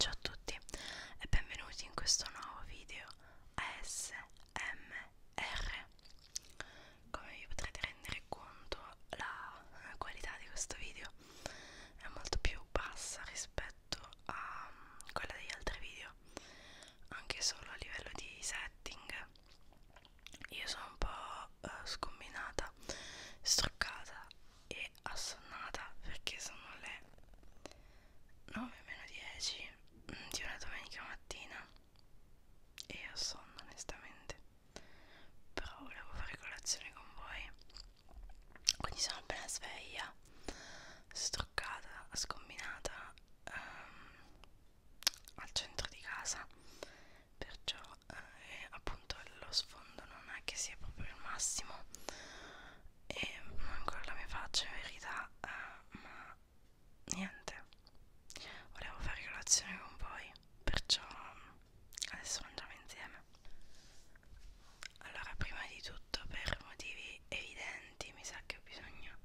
Ciao a tutti e benvenuti in questo nuovo video ASMR. Come vi potrete rendere conto, la qualità di questo video è molto più bassa rispetto a mm, quella degli altri video, anche solo a livello di setting io sono un po' uh, scombinata, struccata e assonnata perché sono le 9 meno 10 mm, di una domenica mattina e ho sonno onestamente però volevo fare colazione con voi quindi sono appena sveglia struccata, scombinata um, al centro di casa perciò eh, appunto lo sfondo non è che sia proprio il massimo e non ancora la mia faccia in verità eh, ma niente volevo fare colazione con voi perciò adesso mangiamo insieme allora prima di tutto per motivi evidenti mi sa che ho bisogno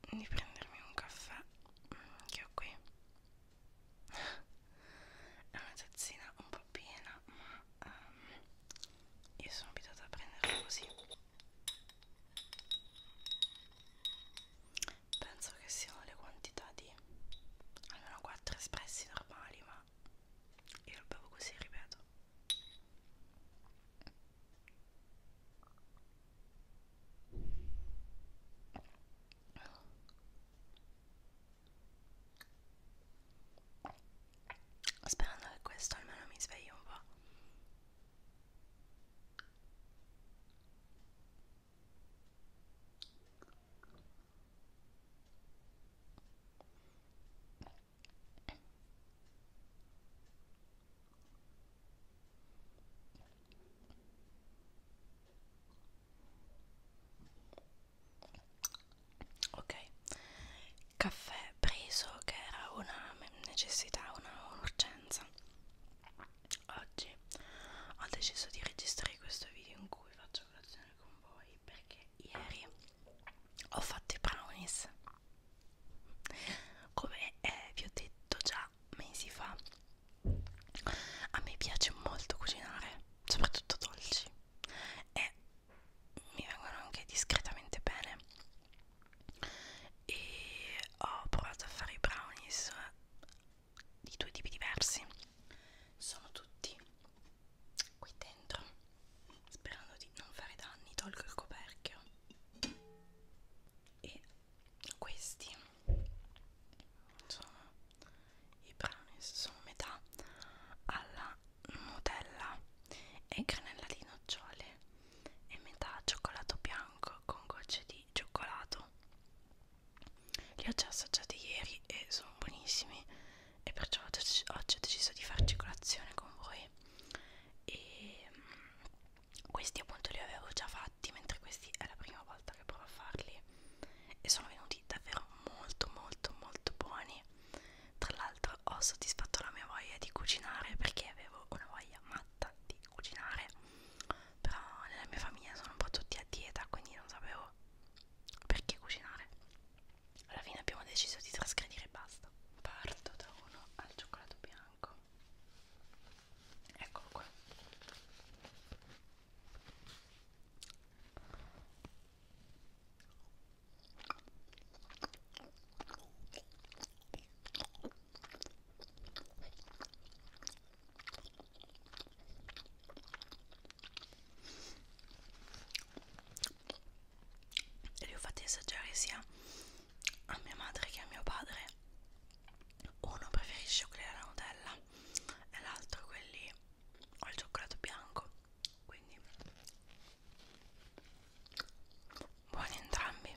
di prendermi un caffè mm, che ho qui è una tazzina un po' piena ma um, io sono abituata a prenderla così penso che siano le quantità di almeno 4 espressi normali ma io lo bevo così ripeto Sperando che questo almeno mi svegli un po' ok caffè preso che era una necessità una un'urgenza oggi ho deciso di registrare questo video in cui faccio colazione con voi perché ieri ho fatto i brownies come eh, vi ho detto già mesi fa a me piace molto cucinare soprattutto dolci e mi vengono anche discretamente bene e ho provato a fare i brownies di due tipi diversi sono tutti qui dentro sperando di non fare danni tolgo il coperchio e questi sono i brownies sono metà alla Nutella e granella di nocciole e metà cioccolato bianco con gocce di cioccolato li ho già assaggiati ieri e sono buonissimi e perciò oggi ho deciso di farci colazione con voi e mm, questi appunto li avevo già fatti mentre questi è la prima volta che provo a farli e sono venuti davvero molto molto molto buoni tra l'altro ho soddisfatto la mia voglia di cucinare perché avevo una voglia matta di cucinare però nella mia famiglia sono un po' tutti a dieta quindi non sapevo perché cucinare alla fine abbiamo deciso di trasgredire e basta parto da uno al cioccolato bianco eccolo qua e li ho fatti assaggiare sia a mia madre che a mio padre uno preferisce quelli alla Nutella e l'altro quelli al cioccolato bianco quindi buoni entrambi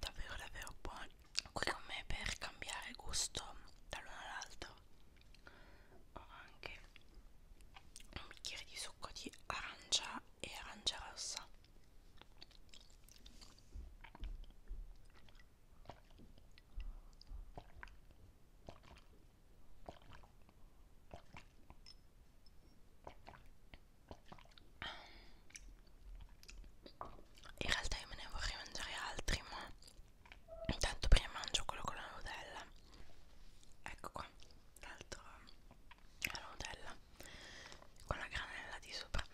davvero davvero buoni qui con me per cambiare gusto dall'uno all'altro ho anche un bicchiere di succo di arancia e arancia rossa in realtà io me ne vorrei mangiare altri, ma intanto prima mangio quello con la Nutella. Ecco qua, l'altro la Nutella con la granella di sopra.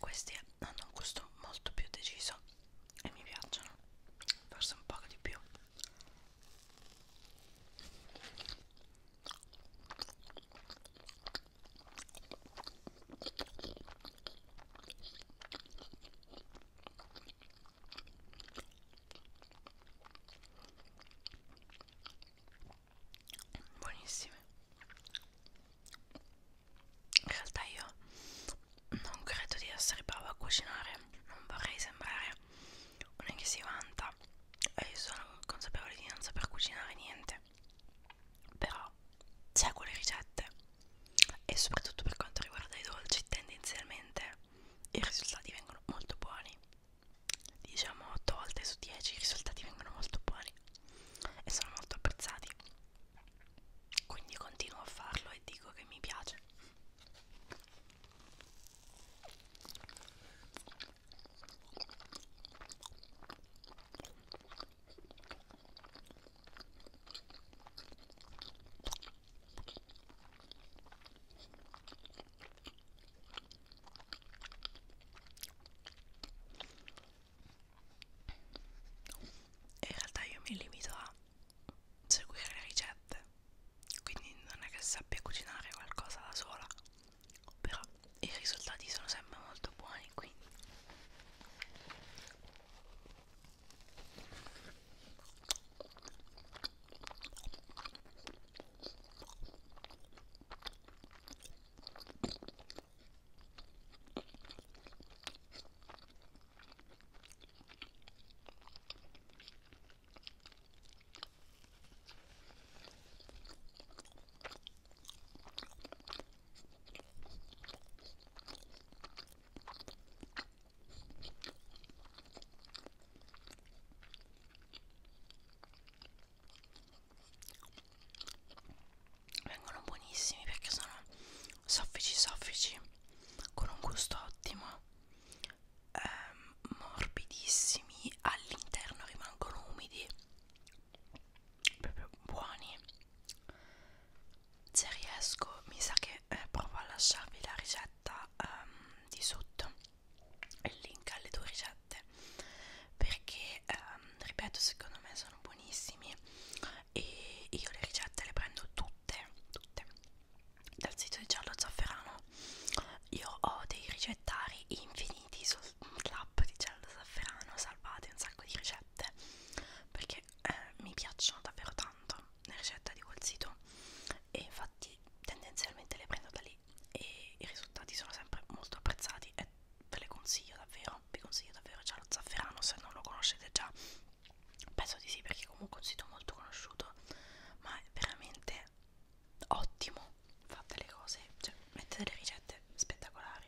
Questi hanno un gusto molto più deciso e mi piacciono, forse un po' di più buonissime in realtà io non credo di essere brava a cucinare non vorrei sembrare una che si vanta e io sono consapevole di non saper cucinare niente però seguo le ricette e soprattutto per quanto riguarda i dolci tendenzialmente i risultati vengono molto buoni diciamo 8 volte su 10 i risultati vengono molto buoni e sono molto apprezzati quindi continuo a farlo e dico che mi piace in realtà io mi limito a seguire le ricette, quindi non è che sappia cucinare qualcosa da sola però i risultati sono sempre molto buoni quindi Vengono buonissimi perché sono soffici soffici con un gusto ottimo ehm, morbidissimi all'interno rimangono umidi proprio buoni se riesco mi sa che eh, provo a lasciarvi la ricetta um, di sotto il link alle due ricette perché um, ripeto secondo me sono buonissimi e io le ricette le prendo tutte tutte dal sito di giallo zafferano io ho dei ricettari infiniti sul l'app di gel da zafferano salvate un sacco di ricette perché eh, mi piacciono davvero tanto le ricette di quel sito e infatti tendenzialmente le prendo da lì e i risultati sono sempre molto apprezzati e ve le consiglio davvero vi consiglio davvero già lo zafferano se non lo conoscete già penso di sì perché comunque è un sito molto conosciuto ma è veramente ottimo, fa delle cose, cioè mette delle ricette spettacolari.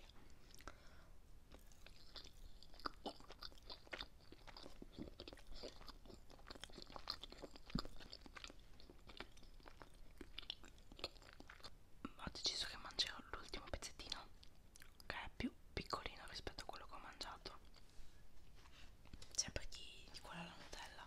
Ho deciso che mangerò l'ultimo pezzettino, che è più piccolino rispetto a quello che ho mangiato. Sempre chi di quella alla Nutella.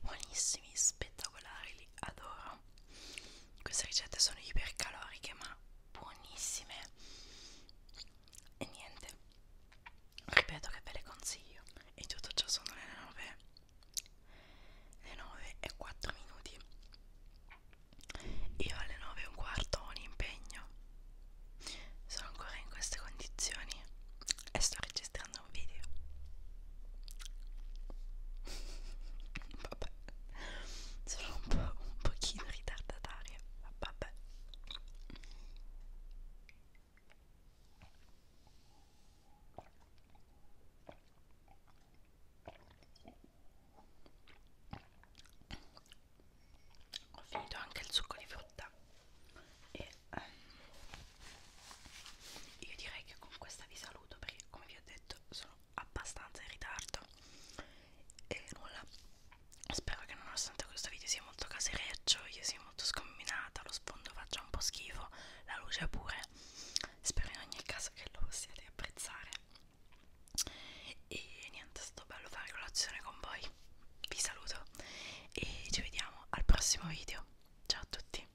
Buonissimi, spettacolari, li adoro. Queste ricette sono ipercaloriche ma buonissime e niente ripeto che ve le consiglio e tutto ciò sono le 9 le 9 e 4 minuti io alle 9 e un quarto ho un impegno sono ancora in queste condizioni e sto registrando un video vabbè sono un po' un pochino ritardataria eh. vabbè ho finito anche il succo di frutta e ehm, io direi che con questa vi saluto perché come vi ho detto sono abbastanza in ritardo e nulla Spero che nonostante questo video sia molto casereccio, io sia molto scombinata, lo sfondo faccia un po' schifo, la luce pure. Spero in ogni caso che lo possiate apprezzare. E niente, è stato bello fare colazione con voi. Vi saluto e ci vediamo al prossimo video. Ciao a tutti.